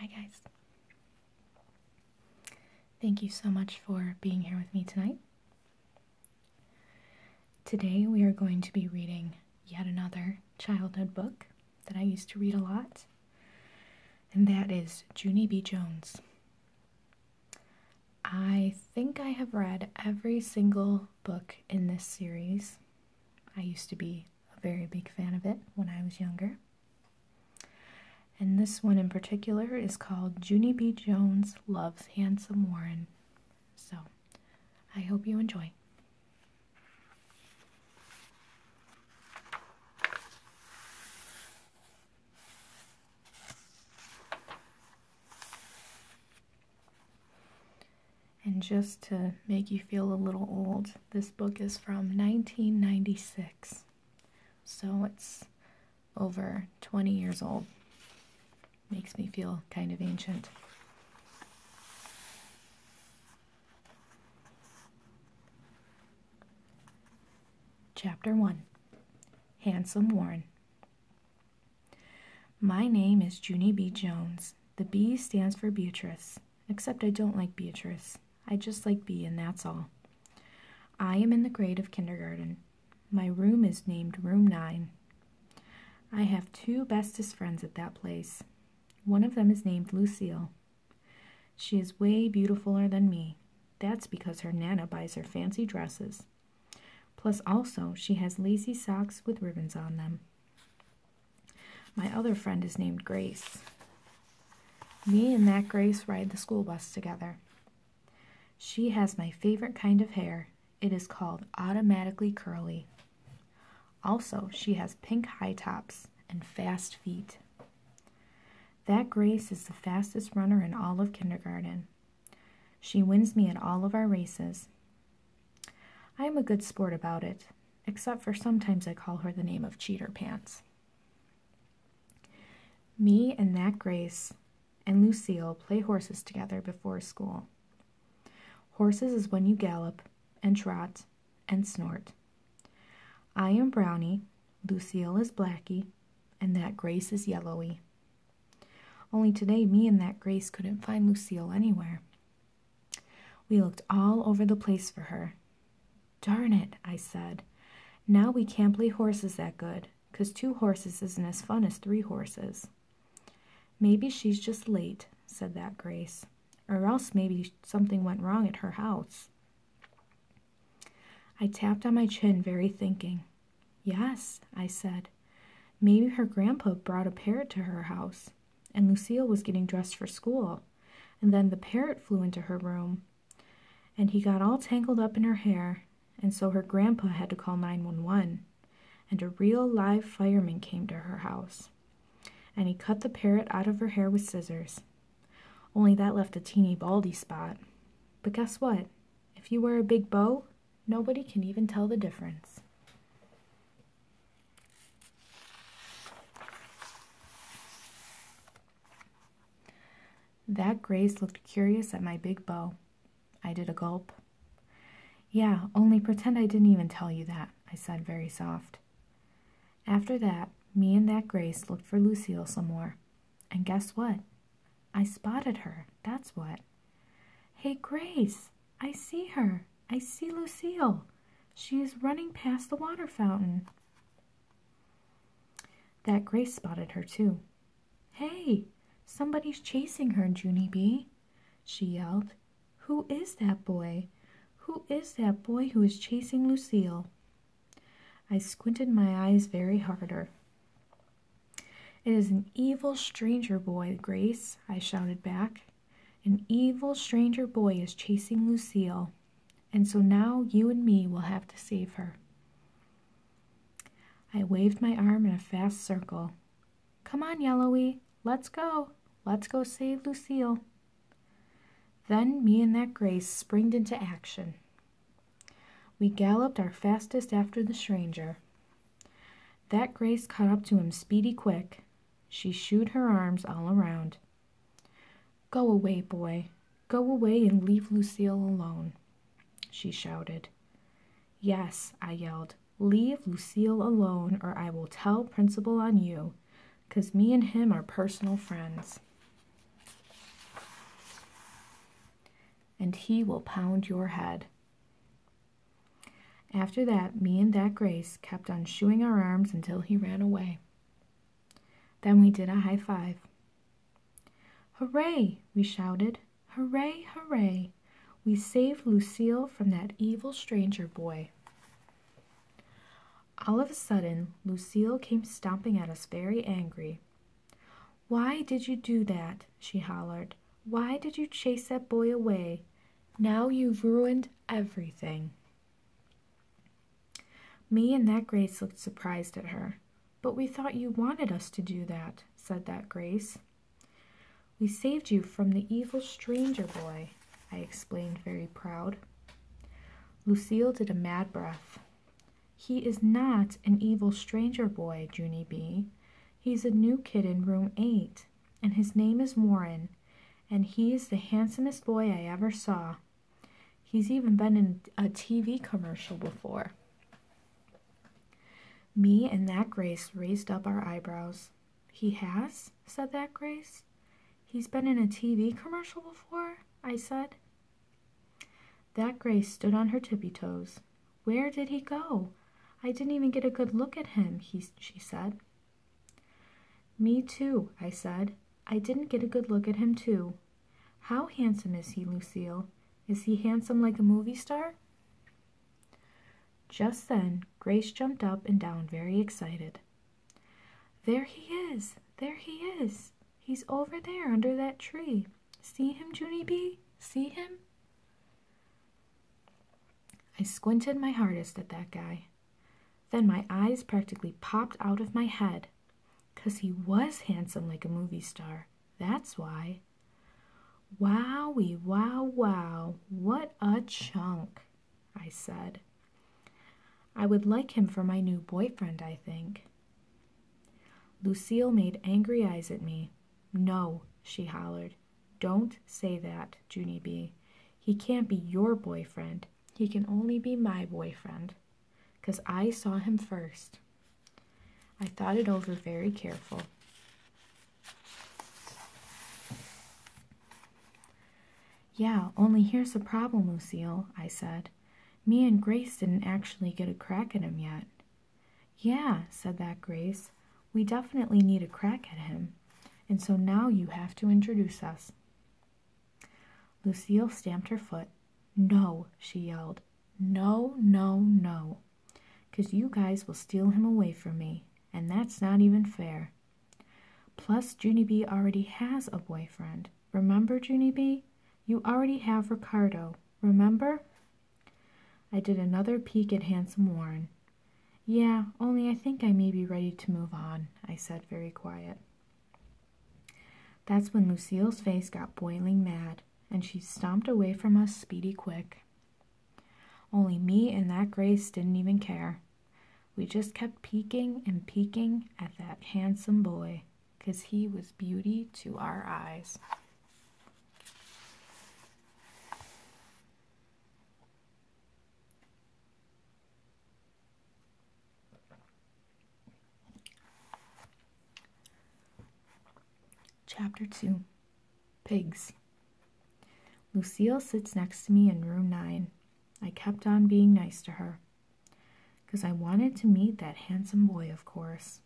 Hi, guys. Thank you so much for being here with me tonight. Today, we are going to be reading yet another childhood book that I used to read a lot, and that is Junie B. Jones. I think I have read every single book in this series. I used to be a very big fan of it when I was younger. And this one in particular is called Junie B. Jones Loves Handsome Warren. So I hope you enjoy. And just to make you feel a little old, this book is from 1996. So it's over 20 years old. Makes me feel kind of ancient. Chapter 1 Handsome Warren My name is Junie B. Jones. The B stands for Beatrice, except I don't like Beatrice. I just like B, and that's all. I am in the grade of kindergarten. My room is named Room 9. I have two bestest friends at that place. One of them is named Lucille. She is way beautifuller than me. That's because her Nana buys her fancy dresses. Plus, also, she has lacy socks with ribbons on them. My other friend is named Grace. Me and that Grace ride the school bus together. She has my favorite kind of hair. It is called automatically curly. Also, she has pink high tops and fast feet. That Grace is the fastest runner in all of kindergarten. She wins me at all of our races. I am a good sport about it, except for sometimes I call her the name of Cheater Pants. Me and that Grace and Lucille play horses together before school. Horses is when you gallop and trot and snort. I am Brownie, Lucille is Blackie, and that Grace is Yellowy. Only today, me and that Grace couldn't find Lucille anywhere. We looked all over the place for her. Darn it, I said. Now we can't play horses that good, because two horses isn't as fun as three horses. Maybe she's just late, said that Grace or else maybe something went wrong at her house. I tapped on my chin, very thinking. Yes, I said. Maybe her grandpa brought a parrot to her house, and Lucille was getting dressed for school, and then the parrot flew into her room, and he got all tangled up in her hair, and so her grandpa had to call 911, and a real live fireman came to her house and he cut the parrot out of her hair with scissors. Only that left a teeny baldy spot. But guess what? If you wear a big bow, nobody can even tell the difference. That Grace looked curious at my big bow. I did a gulp. Yeah, only pretend I didn't even tell you that, I said very soft. After that, me and that Grace looked for Lucille some more. And guess what? I spotted her, that's what. Hey, Grace, I see her. I see Lucille. She is running past the water fountain. That Grace spotted her, too. Hey, somebody's chasing her, Junie B, she yelled. Who is that boy? Who is that boy who is chasing Lucile? I squinted my eyes very harder. It is an evil stranger boy, Grace, I shouted back. An evil stranger boy is chasing Lucile, and so now you and me will have to save her. I waved my arm in a fast circle. Come on, Yellowy, let's go. Let's go save Lucille. Then me and that Grace springed into action. We galloped our fastest after the stranger. That Grace caught up to him speedy quick. She shooed her arms all around. Go away, boy. Go away and leave Lucille alone, she shouted. Yes, I yelled. Leave Lucille alone, or I will tell Principal on you because me and him are personal friends. And he will pound your head. After that, me and that Grace kept on shooing our arms until he ran away. Then we did a high five. Hooray! we shouted. Hooray, hooray! We saved Lucille from that evil stranger boy. All of a sudden, Lucille came stomping at us very angry. Why did you do that? she hollered. Why did you chase that boy away? Now you've ruined everything. Me and that Grace looked surprised at her. But we thought you wanted us to do that, said that Grace. We saved you from the evil stranger boy, I explained, very proud. Lucille did a mad breath. He is not an evil stranger boy, Junie B. He's a new kid in room eight, and his name is Warren, and he's the handsomest boy I ever saw. He's even been in a TV commercial before. Me and that Grace raised up our eyebrows. He has? said that Grace. He's been in a TV commercial before, I said. That Grace stood on her tippy toes. Where did he go? I didn't even get a good look at him, he, she said. Me too, I said. I didn't get a good look at him too. How handsome is he, Lucille? Is he handsome like a movie star? Just then, Grace jumped up and down very excited. There he is! There he is! He's over there under that tree. See him, Junie B? See him? I squinted my hardest at that guy. Then my eyes practically popped out of my head. Because he was handsome like a movie star. That's why. Wowie, wow, wow. What a chunk. I said. I would like him for my new boyfriend, I think. Lucille made angry eyes at me. No, she hollered. Don't say that, Junie B. He can't be your boyfriend. He can only be my boyfriend, 'cause I saw him first." I thought it over very careful. Yeah, only here's the problem, Lucille, I said. Me and Grace didn't actually get a crack at him yet. Yeah, said that Grace. We definitely need a crack at him. And so now you have to introduce us. Lucille stamped her foot. No, she yelled. No, no, no, 'cause you guys will steal him away from me. And that's not even fair. Plus, Junie B already has a boyfriend. Remember, Junie B? You already have Ricardo. Remember? I did another peek at Handsome Warren. Yeah, only I think I may be ready to move on, I said very quiet. That's when Lucille's face got boiling mad, and she stomped away from us speedy quick. Only me and that Grace didn't even care. We just kept peeking and peeking at that handsome boy, because he was beauty to our eyes. Chapter 2 Pigs. Lucille sits next to me in room 9. I kept on being nice to her, 'cause I wanted to meet that handsome boy, of course.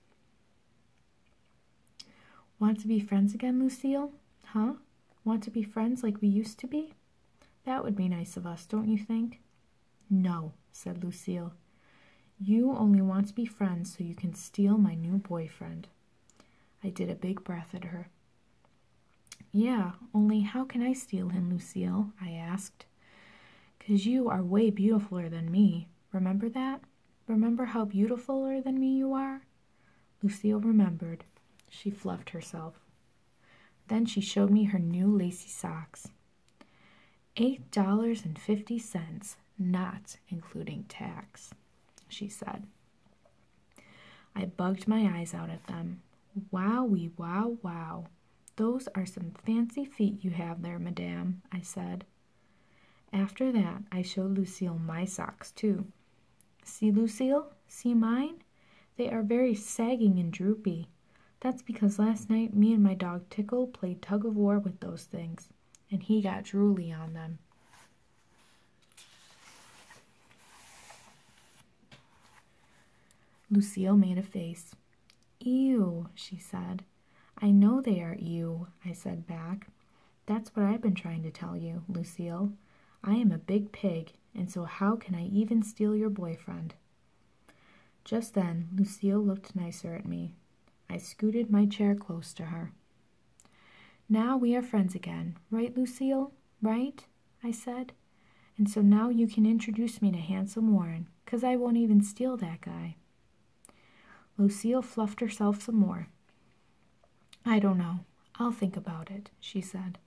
Want to be friends again, Lucille? Huh? Want to be friends like we used to be? That would be nice of us, don't you think? No, said Lucille. You only want to be friends so you can steal my new boyfriend. I did a big breath at her. Yeah, only how can I steal him, Lucille? I asked. Cause you are way beautifuler than me. Remember that? Remember how beautifuler than me you are? Lucille remembered. She fluffed herself. Then she showed me her new lacy socks. Eight dollars and fifty cents, not including tax, she said. I bugged my eyes out at them. Wow! Wowie, wow, wow. Those are some fancy feet you have there, madame, I said. After that, I showed Lucille my socks, too. See, Lucille? See mine? They are very sagging and droopy. That's because last night me and my dog Tickle played tug of war with those things, and he got drooly on them. Lucille made a face. Ew, she said. I know they are you, I said back. That's what I've been trying to tell you, Lucille. I am a big pig, and so how can I even steal your boyfriend? Just then, Lucille looked nicer at me. I scooted my chair close to her. Now we are friends again, right, Lucille? Right? I said. And so now you can introduce me to Handsome Warren, because I won't even steal that guy. Lucille fluffed herself some more. I don't know. I'll think about it, she said.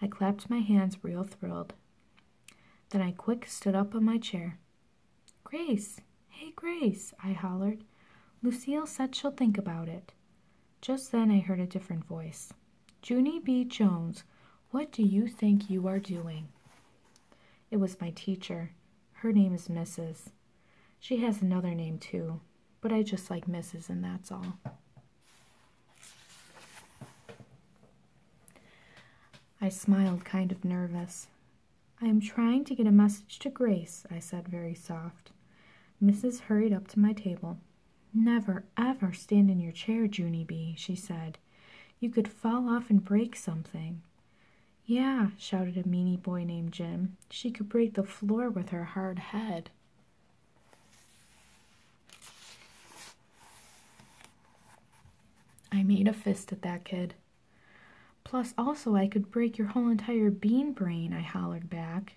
I clapped my hands, real thrilled. Then I quick stood up on my chair. Grace! Hey, Grace! I hollered. Lucille said she'll think about it. Just then I heard a different voice. Junie B. Jones, what do you think you are doing? It was my teacher. Her name is Mrs. She has another name too, but I just like Mrs. and that's all. I smiled, kind of nervous. I am trying to get a message to Grace, I said very soft. Mrs. hurried up to my table. Never, ever stand in your chair, Junie B, she said. You could fall off and break something. Yeah, shouted a meanie boy named Jim. She could break the floor with her hard head. I made a fist at that kid. Plus, also, I could break your whole entire bean brain, I hollered back.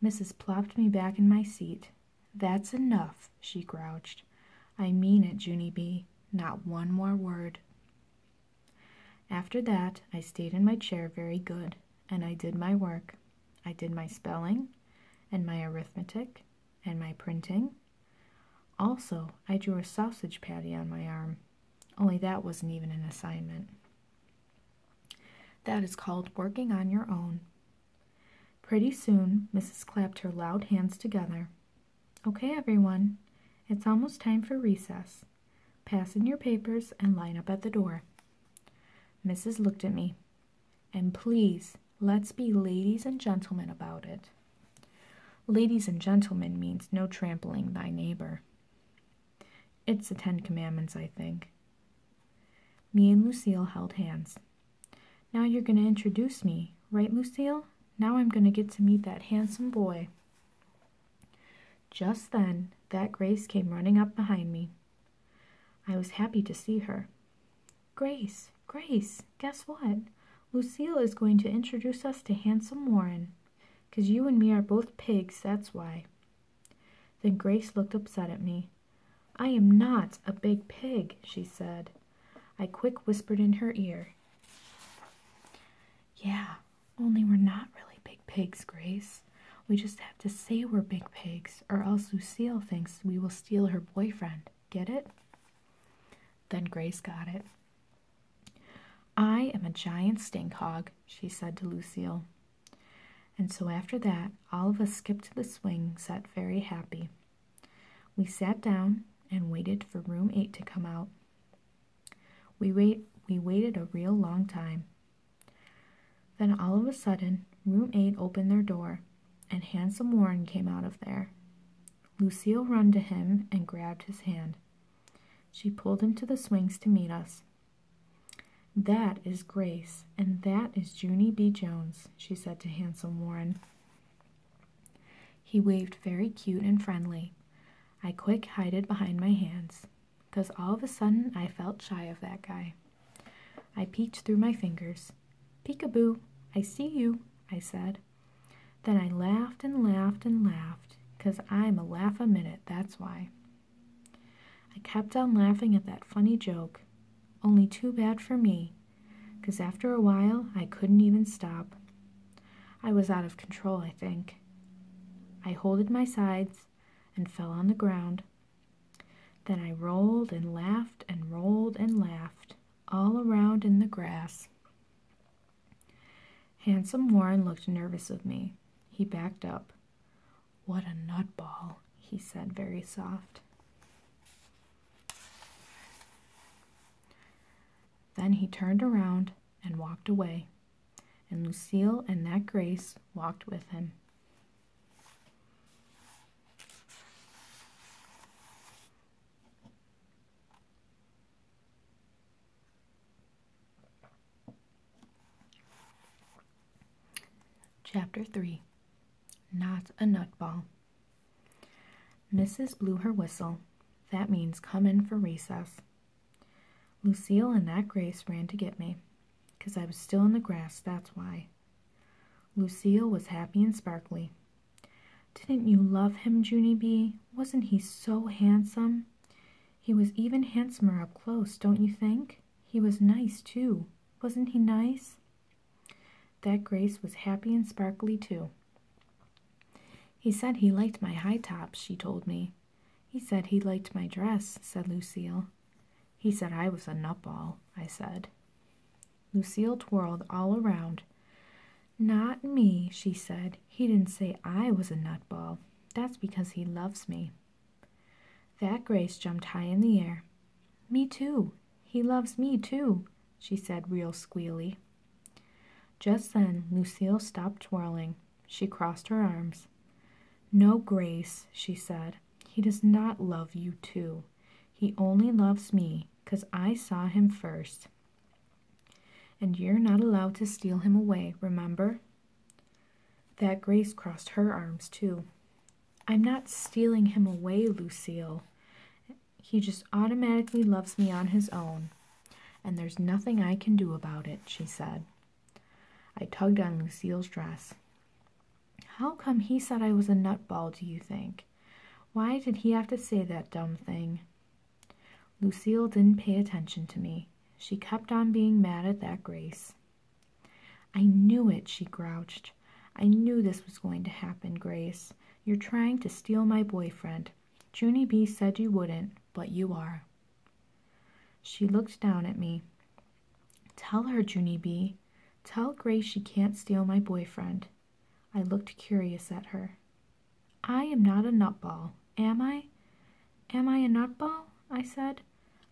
Missus plopped me back in my seat. That's enough, she grouched. I mean it, Junie B. Not one more word. After that, I stayed in my chair very good, and I did my work. I did my spelling, and my arithmetic, and my printing. Also, I drew a sausage patty on my arm, only that wasn't even an assignment. That is called working on your own. Pretty soon, Mrs. clapped her loud hands together. Okay, everyone, it's almost time for recess. Pass in your papers and line up at the door. Mrs. looked at me. And please, let's be ladies and gentlemen about it. Ladies and gentlemen means no trampling thy neighbor. It's the Ten Commandments, I think. Me and Lucille held hands. Now you're going to introduce me, right, Lucille? Now I'm going to get to meet that handsome boy. Just then, that Grace came running up behind me. I was happy to see her. Grace, Grace, guess what? Lucille is going to introduce us to handsome Warren. 'Cause you and me are both pigs, that's why. Then Grace looked upset at me. I am not a big pig, she said. I quick whispered in her ear. Yeah, only we're not really big pigs, Grace. We just have to say we're big pigs, or else Lucille thinks we will steal her boyfriend. Get it? Then Grace got it. I am a giant stink hog, she said to Lucille. And so after that, all of us skipped to the swing sat very happy. We sat down and waited for room 8 to come out. We, wait, we waited a real long time. Then all of a sudden, room 8 opened their door, and handsome Warren came out of there. Lucille run to him and grabbed his hand. She pulled him to the swings to meet us. That is Grace, and that is Junie B. Jones, she said to Handsome Warren. He waved very cute and friendly. I quick hid it behind my hands, because all of a sudden I felt shy of that guy. I peeked through my fingers. Peekaboo, I see you, I said. Then I laughed and laughed and laughed, because I'm a laugh a minute, that's why. I kept on laughing at that funny joke, only too bad for me, 'cause after a while I couldn't even stop. I was out of control, I think. I holded my sides and fell on the ground. Then I rolled and laughed and rolled and laughed all around in the grass. Handsome Warren looked nervous of me. He backed up. What a nutball, he said, very soft. Then he turned around and walked away, and Lucille and Nat Grace walked with him. Chapter 3 Not a Nutball. Mrs. blew her whistle. That means come in for recess. Lucille and Aunt Grace ran to get me, 'cause I was still in the grass, that's why. Lucille was happy and sparkly. Didn't you love him, Junie B? Wasn't he so handsome? He was even handsomer up close, don't you think? He was nice, too. Wasn't he nice? That Grace was happy and sparkly, too. He said he liked my high tops, she told me. He said he liked my dress, said Lucille. He said I was a nutball, I said. Lucille twirled all around. Not me, she said. He didn't say I was a nutball. That's because he loves me. That Grace jumped high in the air. Me too. He loves me too, she said, real squealy. Just then, Lucille stopped twirling. She crossed her arms. No, Grace, she said. He does not love you too. He only loves me, 'cause I saw him first. And you're not allowed to steal him away, remember? That Grace crossed her arms too. I'm not stealing him away, Lucille. He just automatically loves me on his own, and there's nothing I can do about it, she said. I tugged on Lucille's dress. How come he said I was a nutball, do you think? Why did he have to say that dumb thing? Lucille didn't pay attention to me. She kept on being mad at that grace. I knew it, she grouched. I knew this was going to happen, Grace. You're trying to steal my boyfriend. Junie B said you wouldn't, but you are. She looked down at me. Tell her, Junie B. Tell Grace she can't steal my boyfriend. I looked curious at her. I am not a nutball, am I? Am I a nutball? I said.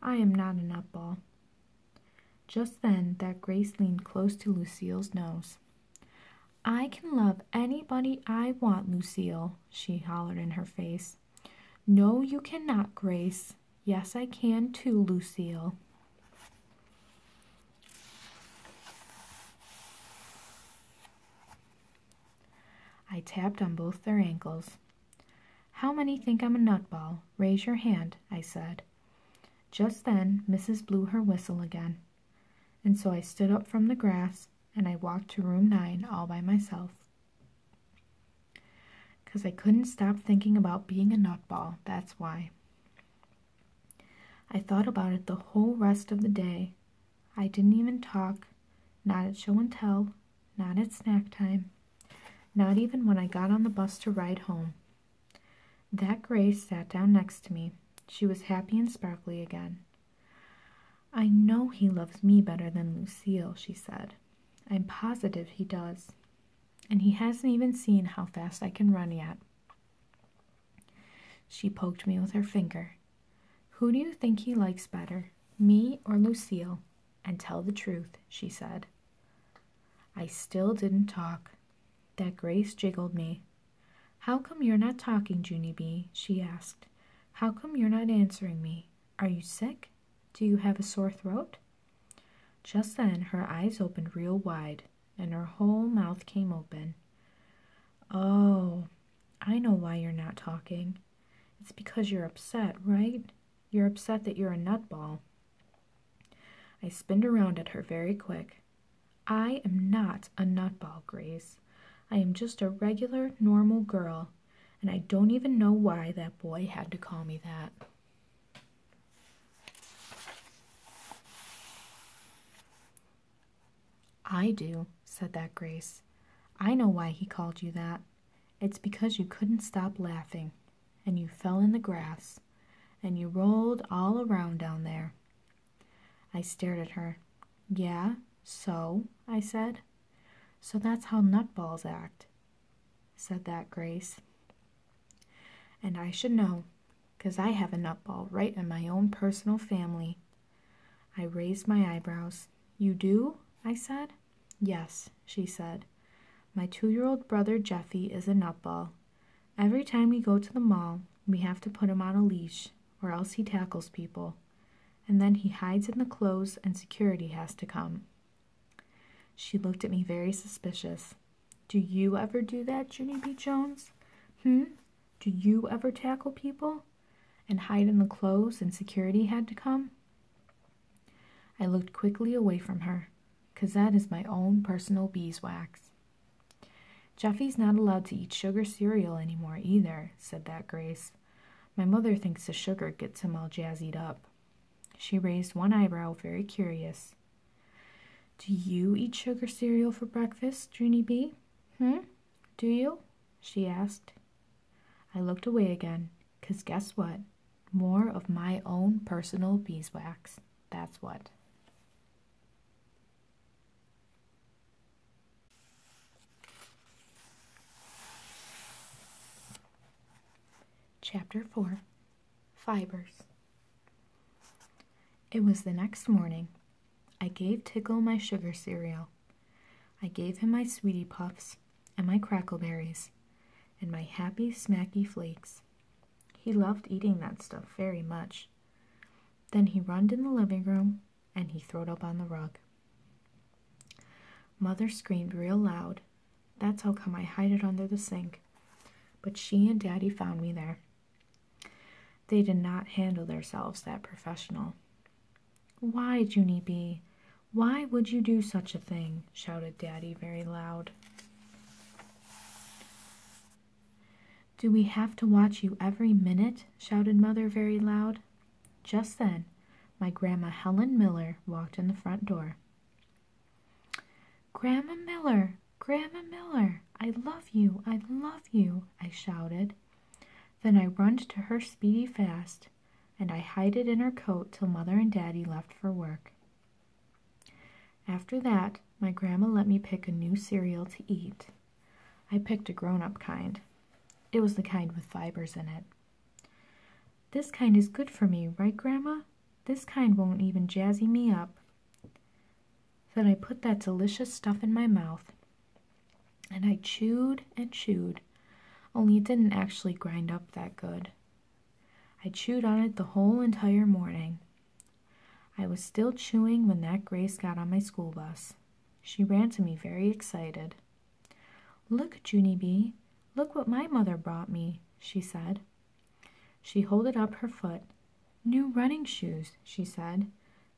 I am not a nutball. Just then that Grace leaned close to Lucile's nose. I can love anybody I want, Lucile," she hollered in her face. No, you cannot, Grace. Yes, I can too, Lucile." I tapped on both their ankles. How many think I'm a nutball? Raise your hand, I said. Just then, Mrs. blew her whistle again, and so I stood up from the grass and I walked to room nine all by myself. 'Cause I couldn't stop thinking about being a nutball, that's why. I thought about it the whole rest of the day. I didn't even talk, not at show and tell, not at snack time, not even when I got on the bus to ride home. That Grace sat down next to me. She was happy and sparkly again. I know he loves me better than Lucille, she said. I'm positive he does. And he hasn't even seen how fast I can run yet. She poked me with her finger. Who do you think he likes better, me or Lucille? And tell the truth, she said. I still didn't talk. That Grace jiggled me. How come you're not talking, Junie B? she asked. How come you're not answering me? Are you sick? Do you have a sore throat? Just then her eyes opened real wide and her whole mouth came open. Oh, I know why you're not talking. It's because you're upset, right? You're upset that you're a nutball. I spinned around at her very quick. I am not a nutball, Grace. I am just a regular, normal girl, and I don't even know why that boy had to call me that. I do, said that Grace. I know why he called you that. It's because you couldn't stop laughing, and you fell in the grass, and you rolled all around down there. I stared at her. Yeah, so, I said. So that's how nutballs act, said that Grace. And I should know, 'cause I have a nutball right in my own personal family. I raised my eyebrows. You do? I said. Yes, she said. My two year old brother Jeffy is a nutball. Every time we go to the mall, we have to put him on a leash, or else he tackles people. And then he hides in the clothes, and security has to come. She looked at me very suspicious. Do you ever do that, Junie B. Jones? Hmm? Do you ever tackle people? And hide in the clothes, and security had to come? I looked quickly away from her, because that is my own personal beeswax. Jeffy's not allowed to eat sugar cereal any more either, said that Grace. My mother thinks the sugar gets him all jazzied up. She raised one eyebrow, very curious. Do you eat sugar cereal for breakfast, Junie B? Hmm? Do you? she asked. I looked away again, because guess what? more of my own personal beeswax. That's what. Chapter 4 Fibers. It was the next morning. I gave Tickle my sugar cereal. I gave him my sweetie puffs and my crackleberries, and my happy smacky flakes. He loved eating that stuff very much. Then he runned in the living room and he throwed up on the rug. Mother screamed real loud. That's how come I hid it under the sink. But she and Daddy found me there. They did not handle themselves that professional. Why, Junie B? Why would you do such a thing? shouted Daddy very loud. Do we have to watch you every minute? shouted Mother very loud. Just then, my Grandma Helen Miller walked in the front door. Grandma Miller, Grandma Miller, I love you, I love you, I shouted. Then I runned to her speedy fast, and I hid it in her coat till Mother and Daddy left for work. After that, my grandma let me pick a new cereal to eat. I picked a grown up kind. It was the kind with fibers in it. This kind is good for me, right, Grandma? This kind won't even jazzy me up. Then I put that delicious stuff in my mouth, and I chewed and chewed, only it didn't actually grind up that good. I chewed on it the whole entire morning. I was still chewing when that Grace got on my school bus. She ran to me very excited. Look, Junie B, look what my mother brought me, she said. She holded up her foot. New running shoes, she said.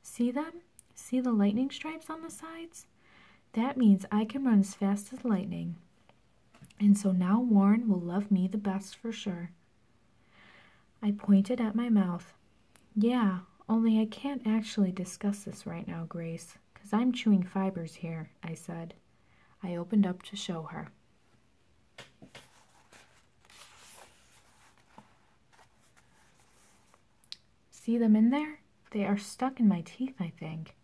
See them? See the lightning stripes on the sides? That means I can run as fast as lightning. And so now Warren will love me the best for sure. I pointed at my mouth. Yeah, only I can't actually discuss this right now, Grace, because I'm chewing fibers here, I said. I opened up to show her. See them in there? They are stuck in my teeth, I think.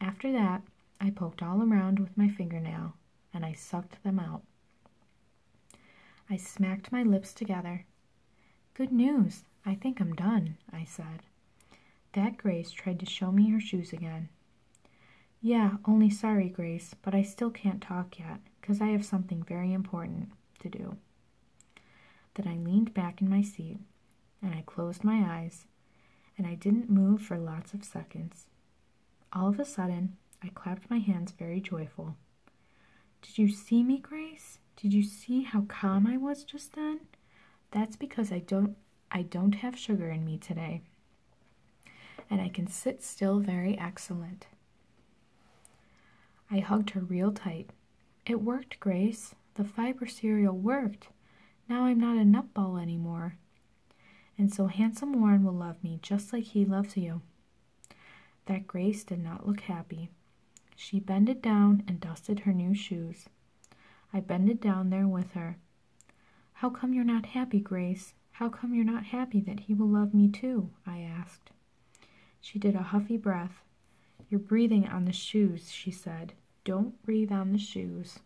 After that, I poked all around with my fingernail and I sucked them out. I smacked my lips together. Good news! I think I'm done, I said. That Grace tried to show me her shoes again. Yeah, only sorry, Grace, but I still can't talk yet, because I have something very important to do. Then I leaned back in my seat, and I closed my eyes, and I didn't move for lots of seconds. All of a sudden, I clapped my hands very joyful. Did you see me, Grace? Did you see how calm I was just then? That's because I don't I don't have sugar in me today. And I can sit still very excellent. I hugged her real tight. It worked, Grace. The fiber cereal worked. Now I'm not a nutball anymore. And so handsome Warren will love me just like he loves you. That Grace did not look happy. She bended down and dusted her new shoes. I bended down there with her. How come you're not happy, Grace? How come you're not happy that he will love me too? I asked. She did a huffy breath. You're breathing on the shoes, she said. Don't breathe on the shoes.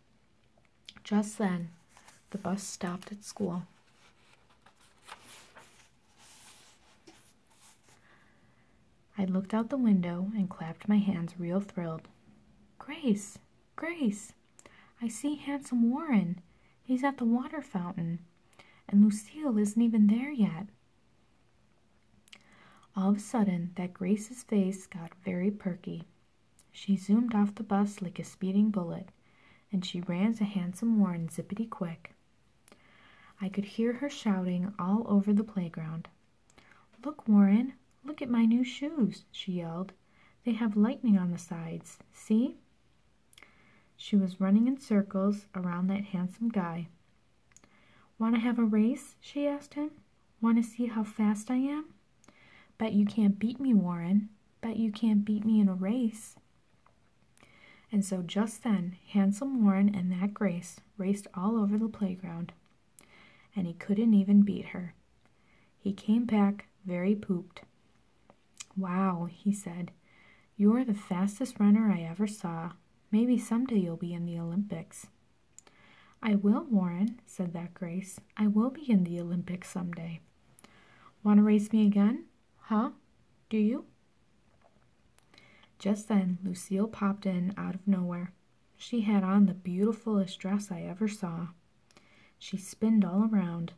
Just then, the bus stopped at school. I looked out the window and clapped my hands, real thrilled. Grace! Grace! I see handsome Warren. He's at the water fountain. And Lucille isn't even there yet. All of a sudden, that Grace's face got very perky. She zoomed off the bus like a speeding bullet, and she ran to Handsome Warren zippity quick. I could hear her shouting all over the playground. Look, Warren, look at my new shoes, she yelled. They have lightning on the sides, see? She was running in circles around that handsome guy. Want to have a race? she asked him. Want to see how fast I am? Bet you can't beat me, Warren. Bet you can't beat me in a race. And so just then, handsome Warren and that Grace raced all over the playground, and he couldn't even beat her. He came back very pooped. Wow, he said, you're the fastest runner I ever saw. Maybe someday you'll be in the Olympics. I will, Warren, said that Grace. I will be in the Olympics someday. Want to race me again? Huh? Do you? Just then, Lucille popped in out of nowhere. She had on the beautifulest dress I ever saw. She spinned all around.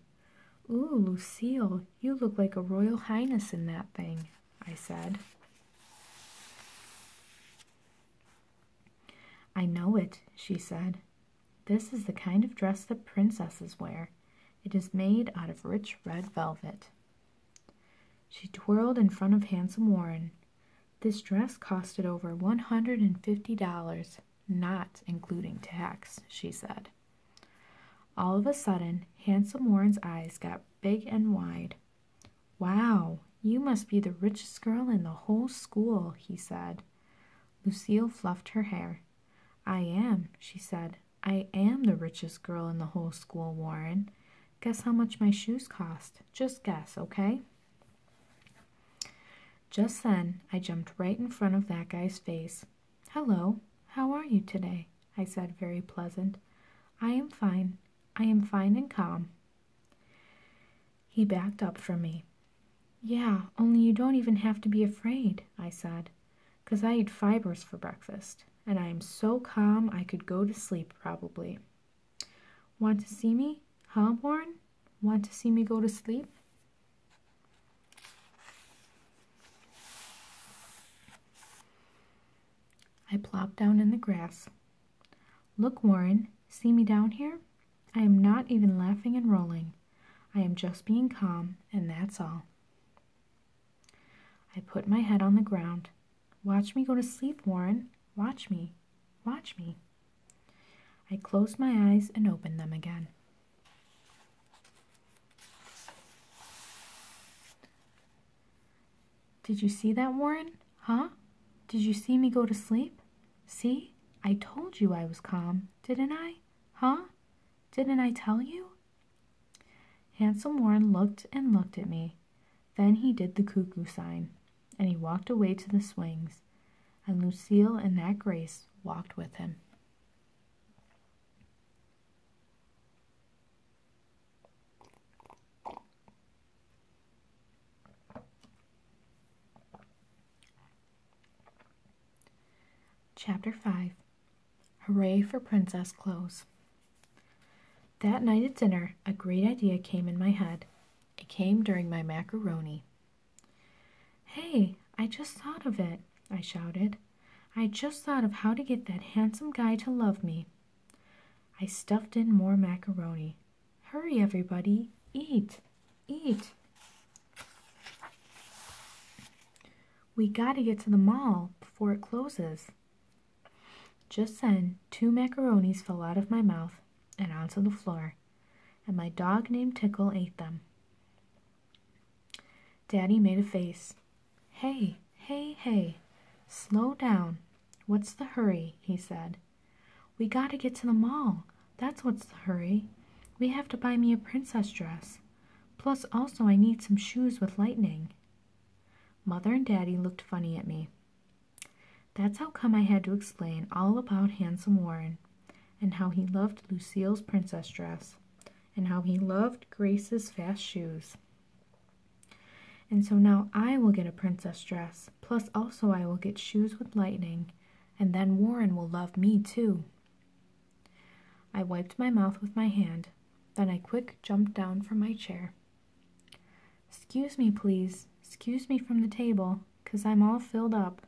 Ooh, Lucille, you look like a royal highness in that thing, I said. I know it, she said. This is the kind of dress that princesses wear. It is made out of rich red velvet. She twirled in front of Handsome Warren. This dress costed over $150, not including tax, she said. All of a sudden, Handsome Warren's eyes got big and wide. Wow, you must be the richest girl in the whole school, he said. Lucille fluffed her hair. I am, she said. I am the richest girl in the whole school, Warren. Guess how much my shoes cost? Just guess, okay? Just then, I jumped right in front of that guy's face. Hello, how are you today? I said, very pleasant. I am fine. I am fine and calm. He backed up from me. Yeah, only you don't even have to be afraid, I said, because I eat fibers for breakfast, and I am so calm I could go to sleep probably. Want to see me, huh, Warren? Want to see me go to sleep? I plopped down in the grass. Look, Warren, see me down here? I am not even laughing and rolling. I am just being calm, and that's all. I put my head on the ground. Watch me go to sleep, Warren. Watch me. Watch me. I closed my eyes and opened them again. Did you see that, Warren? Huh? Did you see me go to sleep? See, I told you I was calm, didn't I? Huh? Didn't I tell you? Handsome Warren looked and looked at me. Then he did the cuckoo sign, and he walked away to the swings, and Lucille and that Grace walked with him. Chapter 5 Hooray for Princess Clothes. That night at dinner, a great idea came in my head. It came during my macaroni. Hey, I just thought of it, I shouted. I just thought of how to get that handsome guy to love me. I stuffed in more macaroni. Hurry, everybody. Eat. Eat. We gotta get to the mall before it closes. Just then, two macaronis fell out of my mouth and onto the floor, and my dog named Tickle ate them. Daddy made a face. Hey, hey, hey, slow down. What's the hurry? he said. We gotta get to the mall. That's what's the hurry. We have to buy me a princess dress. Plus, also, I need some shoes with lightning. Mother and Daddy looked funny at me. That's how come I had to explain all about Handsome Warren and how he loved Lucille's princess dress and how he loved Grace's fast shoes. And so now I will get a princess dress, plus also I will get shoes with lightning, and then Warren will love me too. I wiped my mouth with my hand, then I quick jumped down from my chair. Excuse me, please. Excuse me from the table, cause I'm all filled up.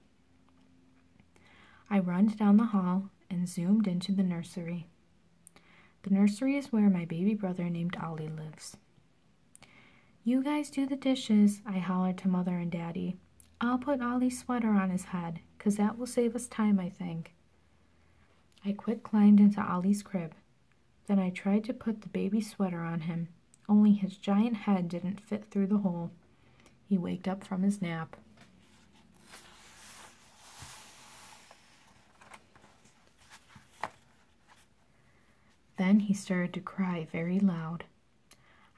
I runned down the hall and zoomed into the nursery. The nursery is where my baby brother named Ollie lives. You guys do the dishes, I hollered to mother and daddy. I'll put Ollie's sweater on his head, cause that will save us time, I think. I quick climbed into Ollie's crib. Then I tried to put the baby sweater on him, only his giant head didn't fit through the hole. He waked up from his nap. Then he started to cry very loud.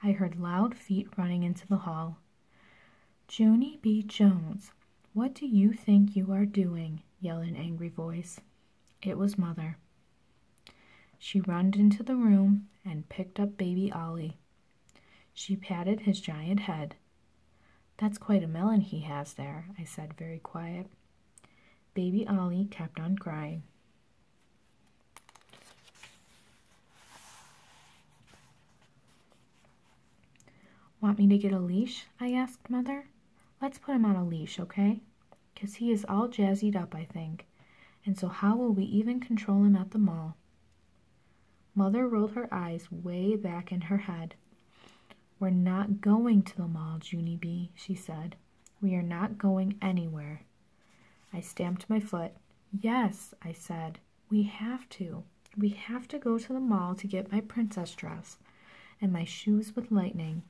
I heard loud feet running into the hall. Joanie B. Jones, what do you think you are doing? yelled an angry voice. It was Mother. She runned into the room and picked up baby Ollie. She patted his giant head. That's quite a melon he has there, I said very quiet. Baby Ollie kept on crying. Want me to get a leash? I asked Mother. Let's put him on a leash, okay? 'Cause he is all jazzied up, I think. And so, how will we even control him at the mall? Mother rolled her eyes way back in her head. We're not going to the mall, Junie B, she said. We are not going anywhere. I stamped my foot. Yes, I said, we have to. We have to go to the mall to get my princess dress and my shoes with lightning,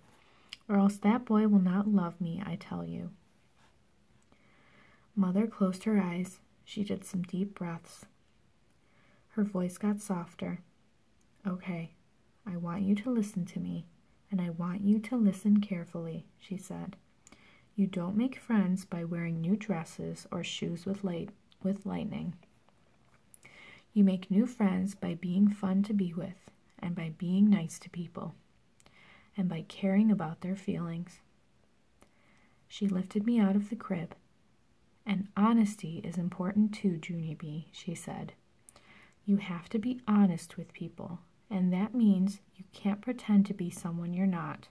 or else that boy will not love me, I tell you. Mother closed her eyes. She did some deep breaths. Her voice got softer. Okay, I want you to listen to me, and I want you to listen carefully, she said. You don't make friends by wearing new dresses or shoes with light with lightning. You make new friends by being fun to be with and by being nice to people and by caring about their feelings. She lifted me out of the crib. And honesty is important too, Junie B, she said. You have to be honest with people and that means you can't pretend to be someone you're not.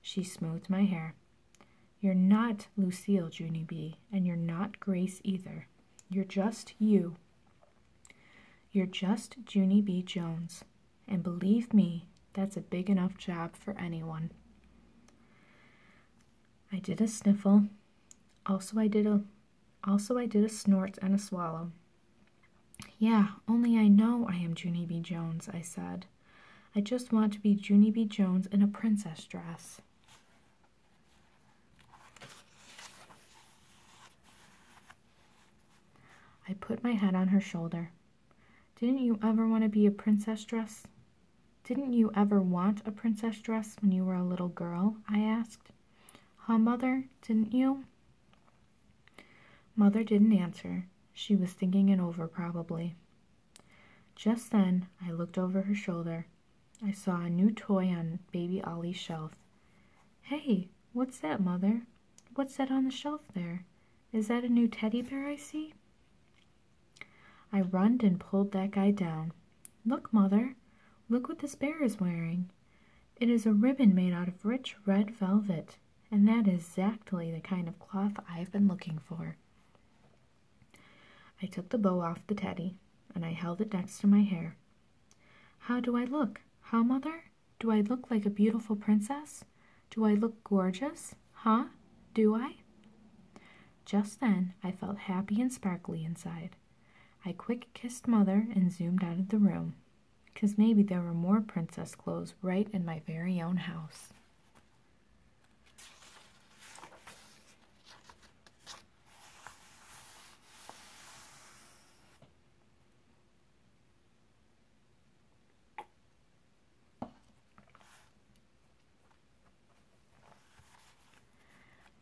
She smoothed my hair. You're not Lucille, Junie B, and you're not Grace either. You're just you. You're just Junie B. Jones, and believe me, that's a big enough job for anyone. I did a sniffle. Also I did a also I did a snort and a swallow, yeah, only I know I am Junie B. Jones, I said. I just want to be Junie B. Jones in a princess dress. I put my head on her shoulder. Didn't you ever want to be a princess dress? Didn't you ever want a princess dress when you were a little girl? I asked. Huh, mother? Didn't you? Mother didn't answer. She was thinking it over, probably. Just then, I looked over her shoulder. I saw a new toy on baby Ollie's shelf. Hey, what's that, Mother? What's that on the shelf there? Is that a new teddy bear I see? I runned and pulled that guy down. Look, Mother, look what this bear is wearing. It is a ribbon made out of rich red velvet, and that is exactly the kind of cloth I've been looking for. I took the bow off the teddy and I held it next to my hair. How do I look? How, mother? Do I look like a beautiful princess? Do I look gorgeous? Huh? Do I? Just then, I felt happy and sparkly inside. I quick kissed mother and zoomed out of the room because maybe there were more princess clothes right in my very own house.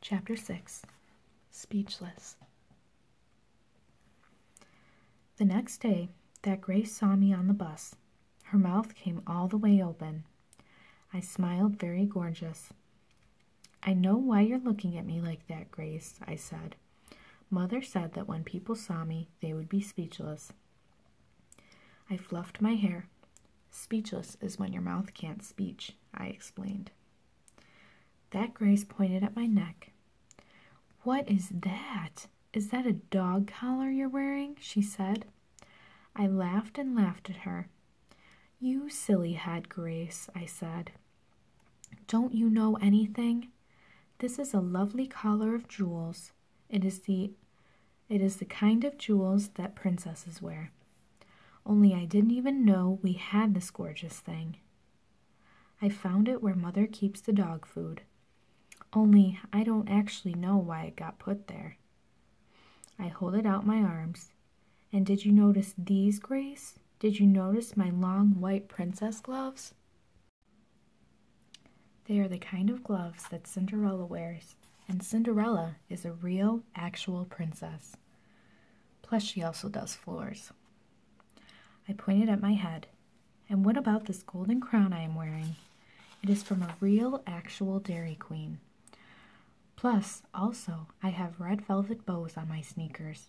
Chapter 6 Speechless the next day that Grace saw me on the bus. Her mouth came all the way open. I smiled very gorgeous. I know why you're looking at me like that, Grace, I said. Mother said that when people saw me, they would be speechless. I fluffed my hair. Speechless is when your mouth can't speech, I explained. That Grace pointed at my neck. What is that? Is that a dog collar you're wearing? she said. I laughed and laughed at her. You silly head, Grace, I said. Don't you know anything? This is a lovely collar of jewels. It is the it is the kind of jewels that princesses wear. Only I didn't even know we had this gorgeous thing. I found it where Mother keeps the dog food, only I don't actually know why it got put there. I hold it out my arms, and did you notice these, Grace? Did you notice my long white princess gloves? They are the kind of gloves that Cinderella wears, and Cinderella is a real, actual princess. Plus, she also does floors. I pointed at my head. And what about this golden crown I am wearing? It is from a real, actual Dairy Queen. Plus, also, I have red velvet bows on my sneakers.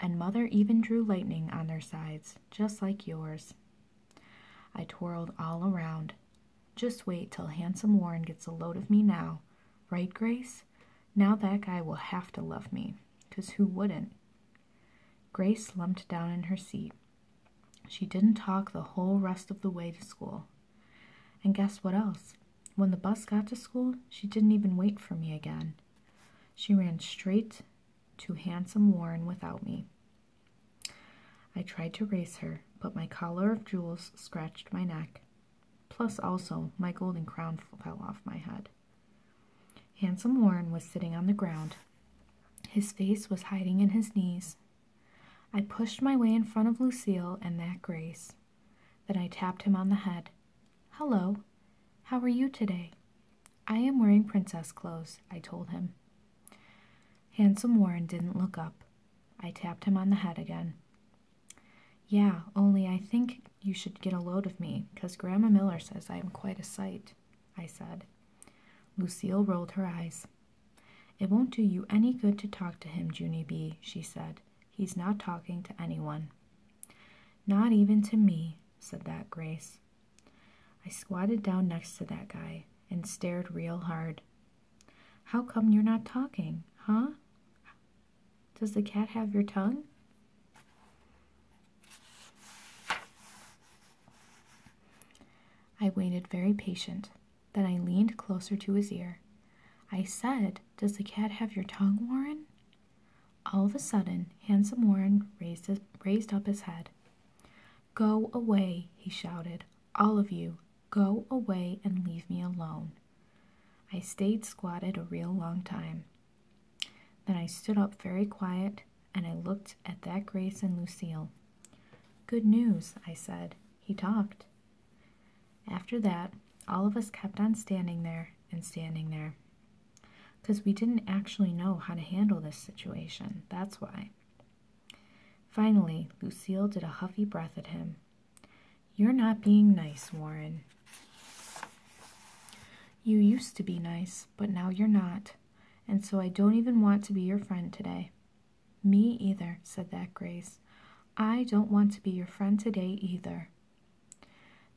And Mother even drew lightning on their sides, just like yours. I twirled all around. Just wait till handsome Warren gets a load of me now. Right, Grace? Now that guy will have to love me, 'cause who wouldn't? Grace slumped down in her seat. She didn't talk the whole rest of the way to school. And guess what else? When the bus got to school, she didn't even wait for me again. She ran straight to handsome Warren without me. I tried to race her, but my collar of jewels scratched my neck. Plus, also, my golden crown fell off my head. Handsome Warren was sitting on the ground. His face was hiding in his knees. I pushed my way in front of Lucille and that Grace. Then I tapped him on the head. Hello, how are you today? I am wearing princess clothes, I told him. Handsome Warren didn't look up. I tapped him on the head again. Yeah, only I think you should get a load of me, because Grandma Miller says I am quite a sight, I said. Lucille rolled her eyes. It won't do you any good to talk to him, Junie B, she said. He's not talking to anyone. Not even to me, said that Grace. I squatted down next to that guy and stared real hard. How come you're not talking, huh? Does the cat have your tongue? I waited very patient. Then I leaned closer to his ear. I said, Does the cat have your tongue, Warren? All of a sudden, handsome Warren raised, his, raised up his head. Go away, he shouted. All of you, go away and leave me alone. I stayed squatted a real long time. Then I stood up very quiet and I looked at that Grace and Lucille. Good news, I said. He talked. After that, all of us kept on standing there and standing there. Because we didn't actually know how to handle this situation, that's why. Finally, Lucille did a huffy breath at him. You're not being nice, Warren. You used to be nice, but now you're not, and so I don't even want to be your friend today. Me either, said that Grace. I don't want to be your friend today either.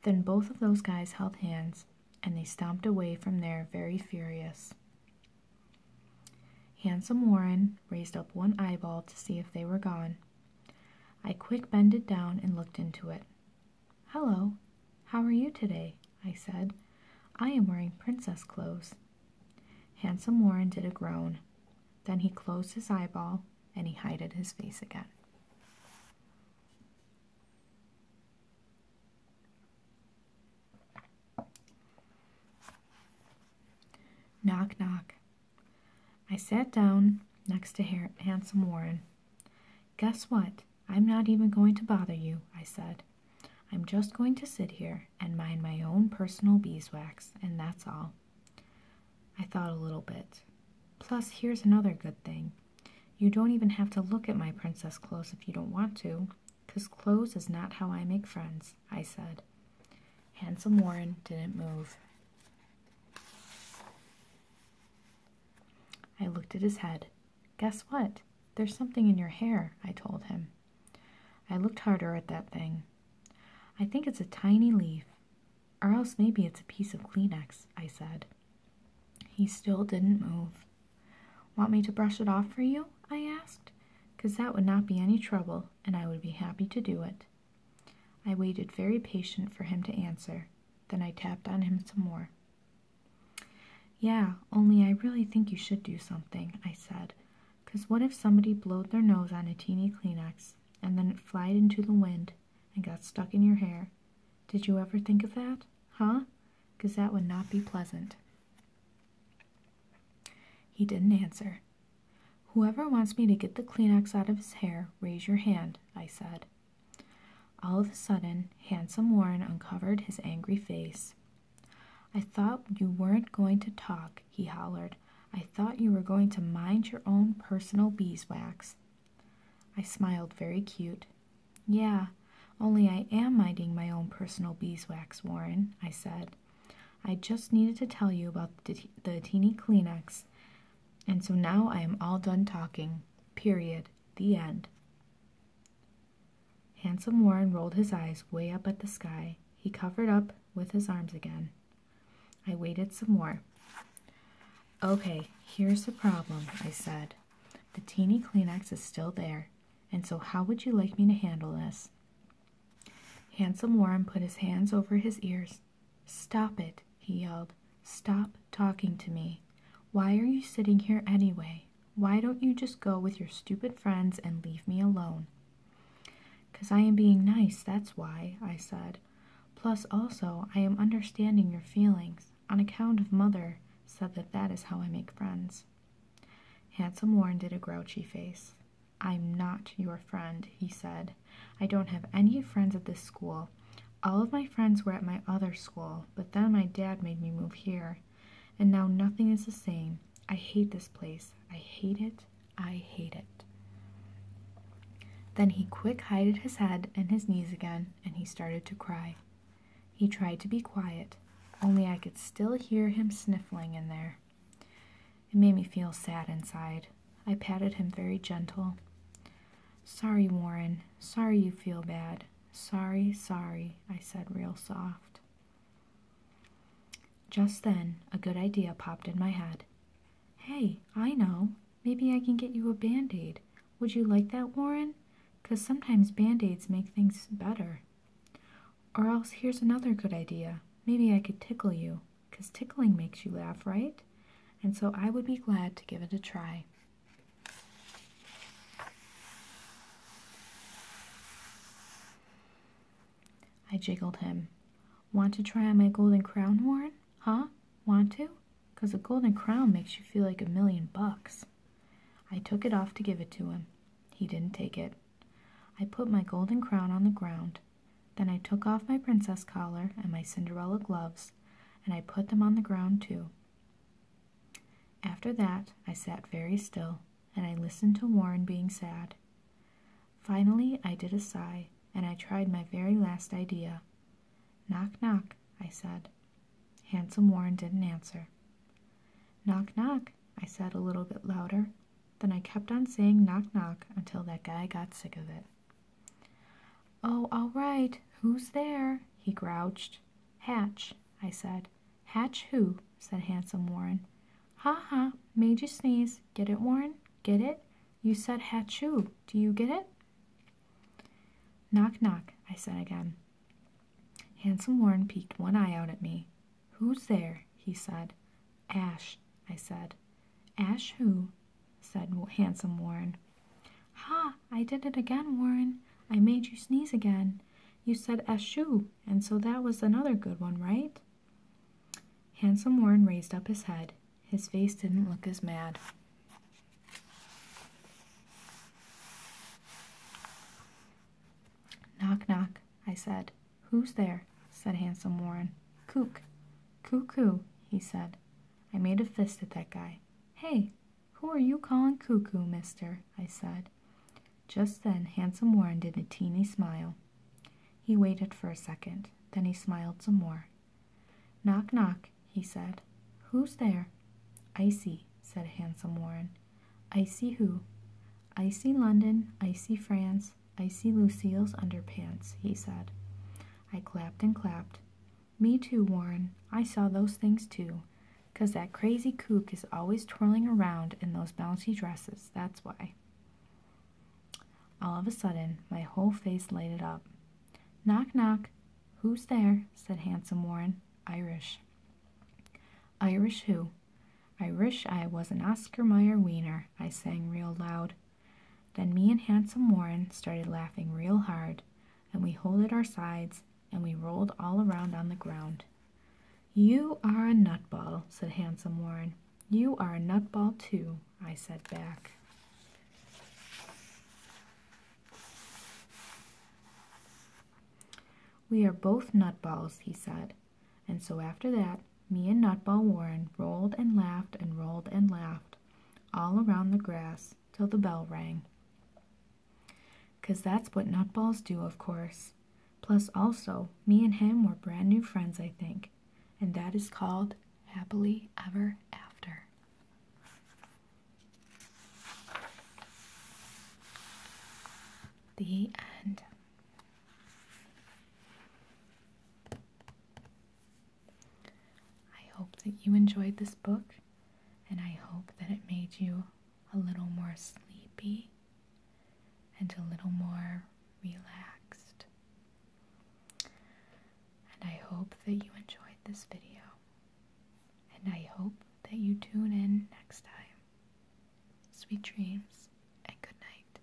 Then both of those guys held hands, and they stomped away from there very furious. Handsome Warren raised up one eyeball to see if they were gone. I quick bended down and looked into it. Hello, how are you today? I said. I am wearing princess clothes. Handsome Warren did a groan. Then he closed his eyeball and he hided his face again. Knock, knock. I sat down next to Handsome Warren. Guess what? I'm not even going to bother you, I said. I'm just going to sit here and mind my own personal beeswax, and that's all. I thought a little bit. Plus, here's another good thing. You don't even have to look at my princess clothes if you don't want to, because clothes is not how I make friends, I said. Handsome Warren didn't move. I looked at his head. Guess what? There's something in your hair, I told him. I looked harder at that thing. I think it's a tiny leaf, or else maybe it's a piece of Kleenex, I said. He still didn't move. Want me to brush it off for you? I asked, because that would not be any trouble, and I would be happy to do it. I waited very patient for him to answer. Then I tapped on him some more. Yeah, only I really think you should do something, I said. Cause what if somebody blowed their nose on a teeny Kleenex and then it flied into the wind and got stuck in your hair? Did you ever think of that? Huh? Cause that would not be pleasant. He didn't answer. Whoever wants me to get the Kleenex out of his hair, raise your hand, I said. All of a sudden, handsome Warren uncovered his angry face. I thought you weren't going to talk, he hollered. I thought you were going to mind your own personal beeswax. I smiled very cute. Yeah, only I am minding my own personal beeswax, Warren, I said. I just needed to tell you about the, teeny Kleenex, and so now I am all done talking. Period. The end. Handsome Warren rolled his eyes way up at the sky. He covered up with his arms again. I waited some more. Okay, here's the problem, I said. The teeny Kleenex is still there, and so how would you like me to handle this? Handsome Warren put his hands over his ears. Stop it, he yelled. Stop talking to me. Why are you sitting here anyway? Why don't you just go with your stupid friends and leave me alone? Because I am being nice, that's why, I said. Plus, also, I am understanding your feelings. On account of Mother said that that is how I make friends. Handsome Warren did a grouchy face. I'm not your friend, he said. I don't have any friends at this school. All of my friends were at my other school, but then my dad made me move here. And now nothing is the same. I hate this place. I hate it. I hate it. Then he quick hided his head and his knees again, and he started to cry. He tried to be quiet, only I could still hear him sniffling in there. It made me feel sad inside. I patted him very gentle. Sorry, Warren. Sorry you feel bad. Sorry, sorry, I said real soft. Just then, a good idea popped in my head. Hey, I know. Maybe I can get you a band aid. Would you like that, Warren? 'Cause sometimes band aids make things better. Or else, here's another good idea. Maybe I could tickle you. 'Cause tickling makes you laugh, right? And so I would be glad to give it a try. I jiggled him. Want to try on my golden crown, Warren? Huh? Want to? Because a golden crown makes you feel like a million bucks. I took it off to give it to him. He didn't take it. I put my golden crown on the ground. Then I took off my princess collar and my Cinderella gloves, and I put them on the ground too. After that, I sat very still, and I listened to Warren being sad. Finally, I did a sigh, and I tried my very last idea. Knock, knock, I said. Handsome Warren didn't answer. Knock, knock, I said a little bit louder. Then I kept on saying knock, knock until that guy got sick of it. Oh, all right. Who's there? he grouched. Hatch, I said. Hatch who? said handsome Warren. Ha ha, made you sneeze. Get it, Warren? Get it? You said hatch who. Do you get it? Knock, knock, I said again. Handsome Warren peeked one eye out at me. Who's there? he said. Ash, I said. Ash who? said Handsome Warren. Ha! I did it again, Warren. I made you sneeze again. You said eschoo, and so that was another good one, right? Handsome Warren raised up his head. His face didn't look as mad. Knock, knock, I said. Who's there? said Handsome Warren. Coo, coo, coo. he said. I made a fist at that guy. Hey, who are you calling cuckoo, mister? I said. Just then, Handsome Warren did a teeny smile. He waited for a second, then he smiled some more. Knock, knock, he said. Who's there? I see," said Handsome Warren. "I see who? "I see London, I see France, I see Lucile's underpants, he said. I clapped and clapped. Me too, Warren. I saw those things too, 'cause that crazy kook is always twirling around in those bouncy dresses, that's why. All of a sudden, my whole face lighted up. Knock, knock. Who's there? said handsome Warren. Irish. Irish who? Irish. I was an Oscar Mayer wiener, I sang real loud. Then me and handsome Warren started laughing real hard and we holed our sides and we rolled all around on the ground. You are a nutball, said Handsome Warren. You are a nutball too, I said back. We are both nutballs, he said. And so after that, me and Nutball Warren rolled and laughed and rolled and laughed all around the grass till the bell rang. Cause that's what nutballs do, of course. Plus, also, me and him were brand new friends, I think, and that is called happily ever after. The end. I hope that you enjoyed this book and I hope that it made you a little more sleepy and a little more relaxed. And I hope that you enjoyed this video. And I hope that you tune in next time. Sweet dreams and good night.